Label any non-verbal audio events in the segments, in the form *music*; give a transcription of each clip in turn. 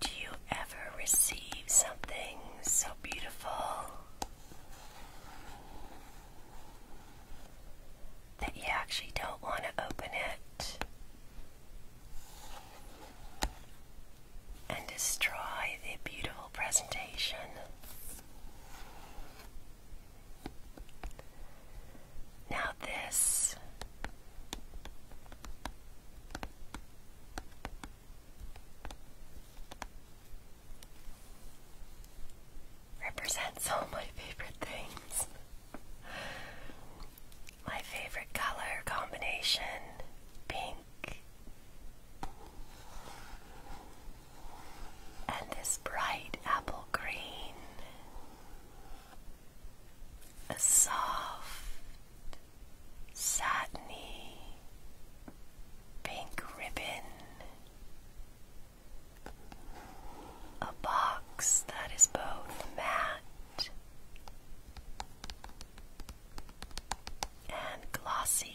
Do you ever receive something so beautiful that you actually don't want to open it? and destroy the beautiful presentation. Now, this represents all my favorite things. My favorite color combination being and this bright apple green. A soft, satiny pink ribbon. A box that is both matte and glossy.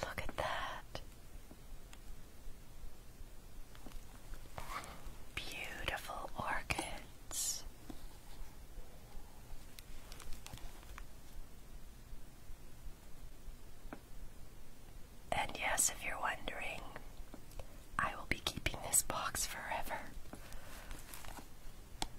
Look at that. Beautiful orchids. And yes, if you're wondering, I will be keeping this box forever.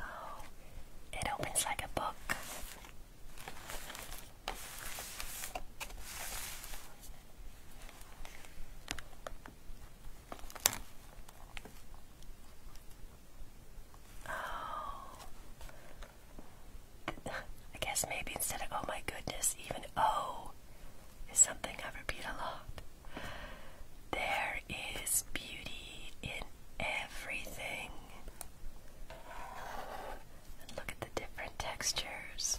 Oh, it opens like a book. Oh. *laughs* I guess maybe instead of oh my goodness, even oh is something I repeat a lot. There is beauty in everything. look at the different textures.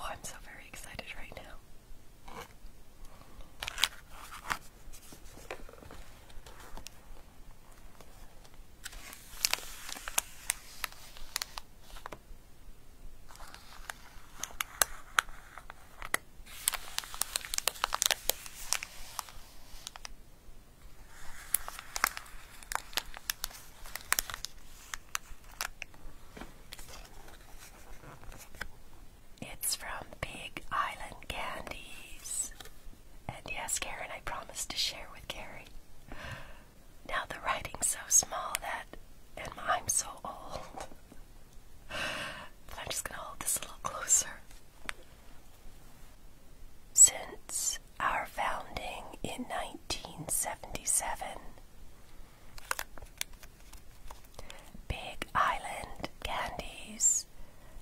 Oh, I'm so very excited right now. It's from Big Island Candies. And yes, Karen, I promised to share with Carrie. Now the writing's so small that, and I'm so old. I'm just going to hold this a little closer. Since our founding in 1977, Big Island Candies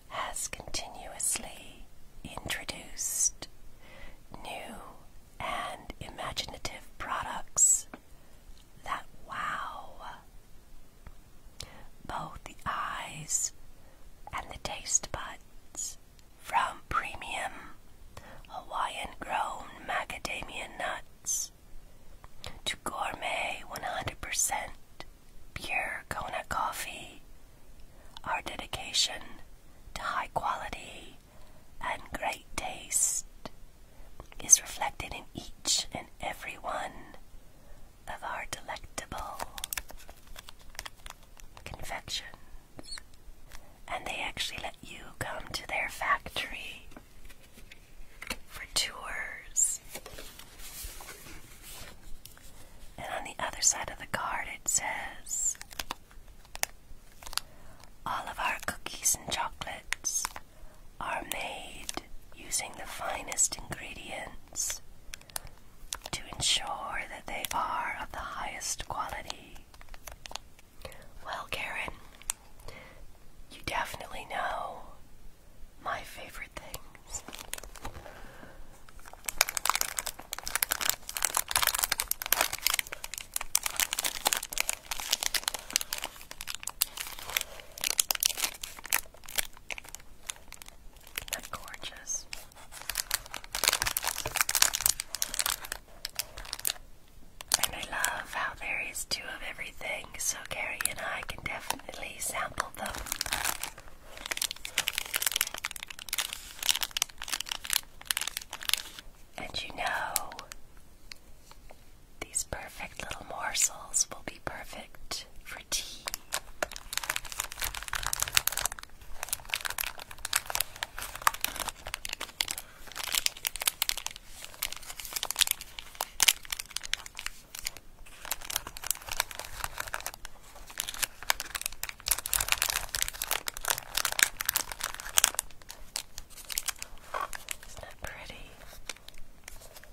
has continuously introduced new and imaginative products that wow. Both the eyes and the taste buds from premium Hawaiian grown macadamia nuts to gourmet 100% pure Kona coffee. Our dedication to high quality and great taste is reflected in each and every one of our delectable confections, and they actually let you come to their factory for tours. And on the other side of the card, it says all of our cookies and chocolates are made using the finest ingredients to ensure that they are of the highest quality. Well, Karen, you definitely know my favorite things is gorgeous? And I love how there is two of everything, so Gary and I can definitely sample them. And you know, these perfect little morsels will be perfect for tea. Isn't that pretty?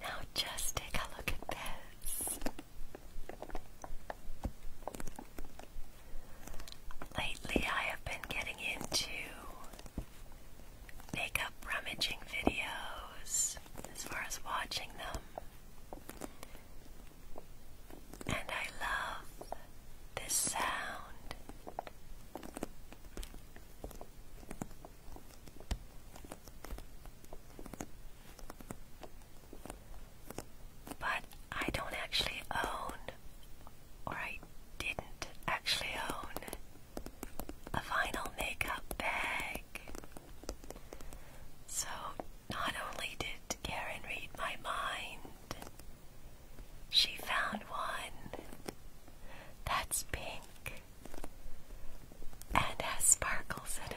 Now just take a look at this. Lately, I have been getting into makeup rummaging videos as far as watching them and I love this sound. But I don't actually own, or I didn't actually own, a vinyl makeup bag. So not only did Karen read my mind, she found one that's pink and has sparkles in it.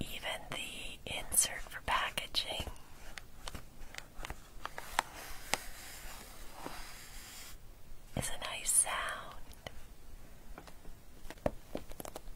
Even the insert for packaging. It's a nice sound.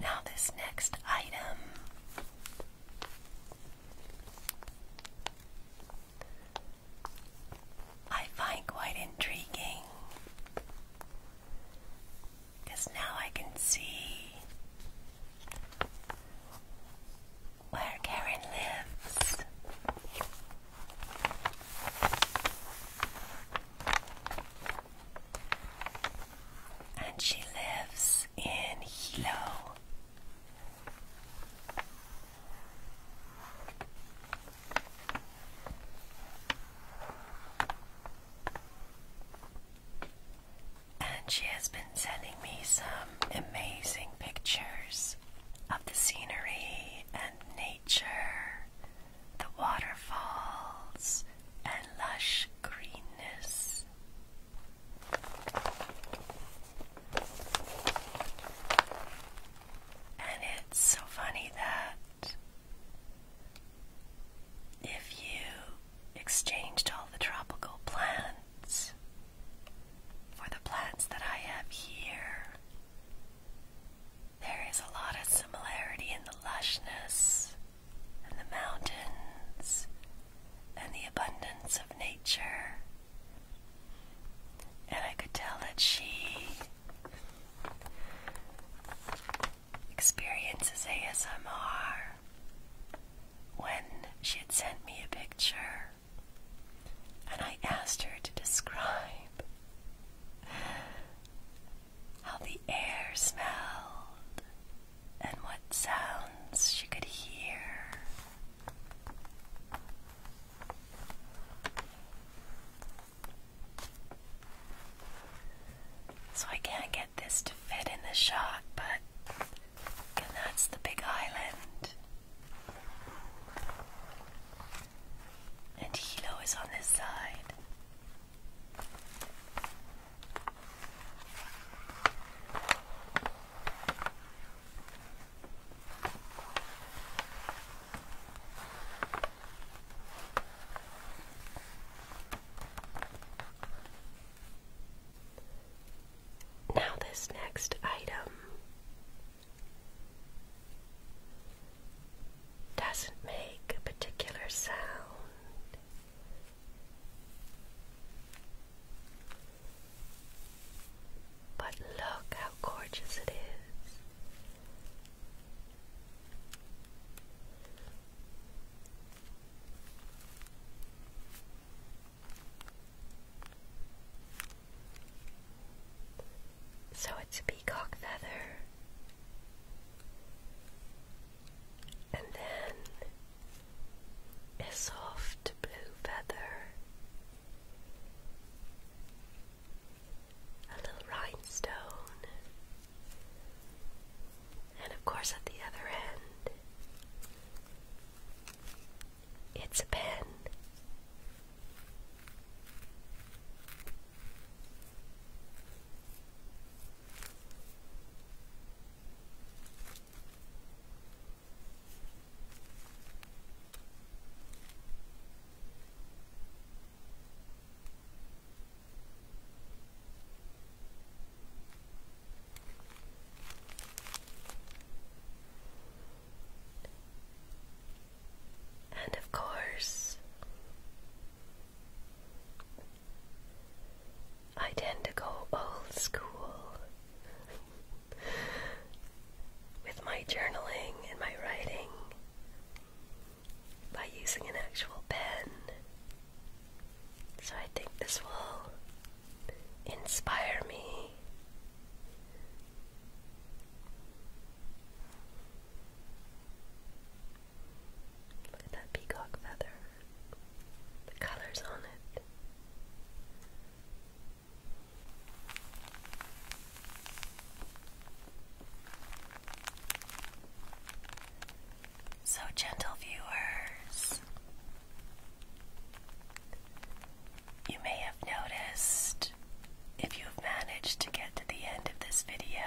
Now, this next item I find quite intriguing because now I can see where Karen lives and she lives in Hilo. And she has been sending me some amazing pictures of the scenery and nature, the waterfalls, and lush greenness. And it's so funny that if you exchanged all the tropical plants for the plants that I have here, there is a lot of similarity in the lushness and the mountains and the abundance of nature. And I could tell that she experiences ASMR when she had sent me a picture. And I asked her to describe how the air smelled and what sounds she could hear. So I can't get this to fit in the shot, but and that's the big island. And Hilo is on this side. Now, this next item doesn't make a particular sound. But look how gorgeous it is. So it's peacock feather and then a soft blue feather, a little rhinestone, and of course, at the other end, it's a pen. And of course, I tend to go old school with my journaling and my writing by using an actual pen. So I think this will inspire me. Look at that peacock feather. The colors on it. So, gentle viewers, you may have noticed if you've managed to get to the end of this video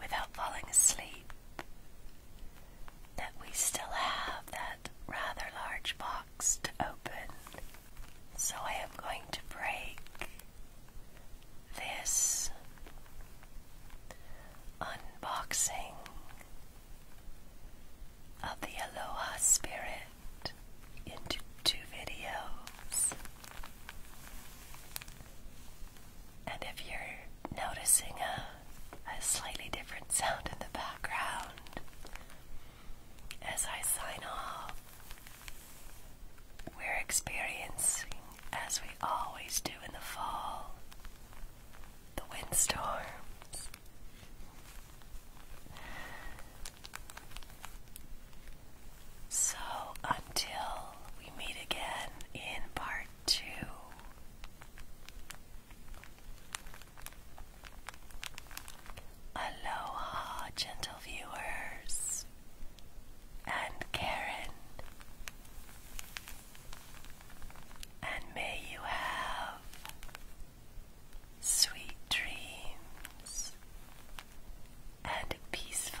without falling asleep, that we still have that rather large box to open. So I am going to break this unboxing of the Aloha Spirit into two videos. And if you're noticing a, slightly different sound in the background as I sign off, we're experiencing, as we always do in the fall, the windstorms. So, until we meet again in part two. Aloha, gentle viewers, and Karen, and may you have sweet dreams and peaceful